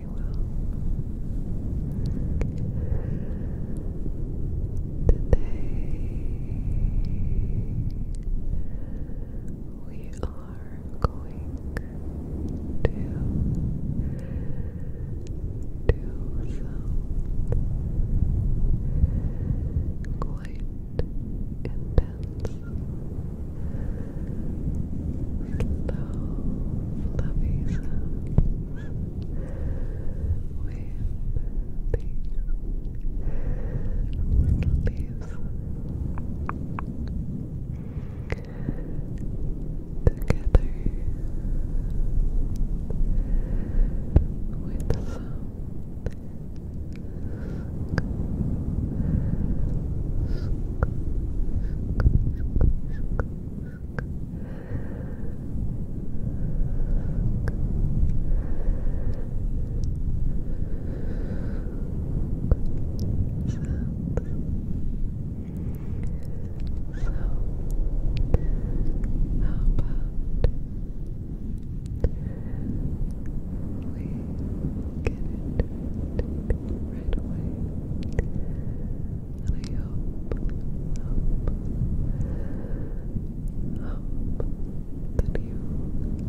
very well. Today we are going to do some quite intense Slow, fluffy sounds with these together with some we get it right away. I hope, hope, hope that you enjoy.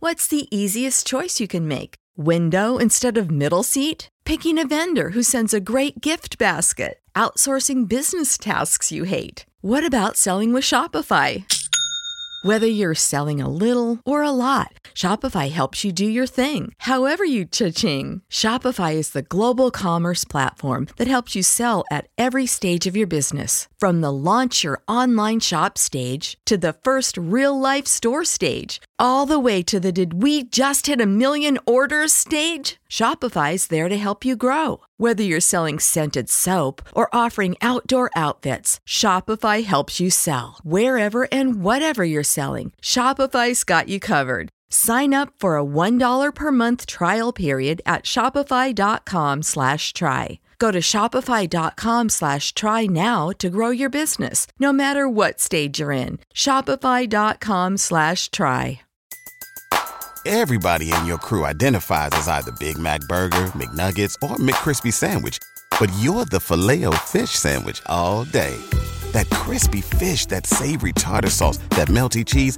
What's the easiest choice you can make? Window instead of middle seat? Picking a vendor who sends a great gift basket? Outsourcing business tasks you hate? What about selling with Shopify? Whether you're selling a little or a lot, Shopify helps you do your thing, however you cha-ching. Shopify is the global commerce platform that helps you sell at every stage of your business, from the launch your online shop stage to the first real life store stage, all the way to the did we just hit a million orders stage? Shopify is there to help you grow. Whether you're selling scented soap or offering outdoor outfits, Shopify helps you sell. Wherever and whatever you're selling, Shopify's got you covered. Sign up for a $1 per month trial period at shopify.com slash try. Go to shopify.com slash try now to grow your business, no matter what stage you're in. Shopify.com slash try. Everybody in your crew identifies as either Big Mac Burger, McNuggets, or McCrispy Sandwich, but you're the filet fish Sandwich all day. That crispy fish, that savory tartar sauce, that melty cheese,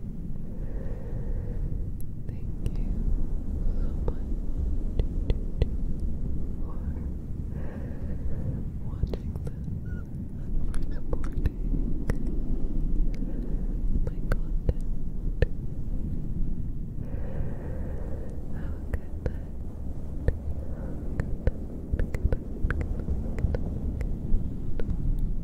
Thank you so much for watching this for supporting my content. Have a good night. Good night. Good night. Good Good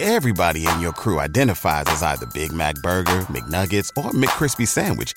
Everybody in your crew identifies as either Big Mac Burger, McNuggets, or McCrispy Sandwich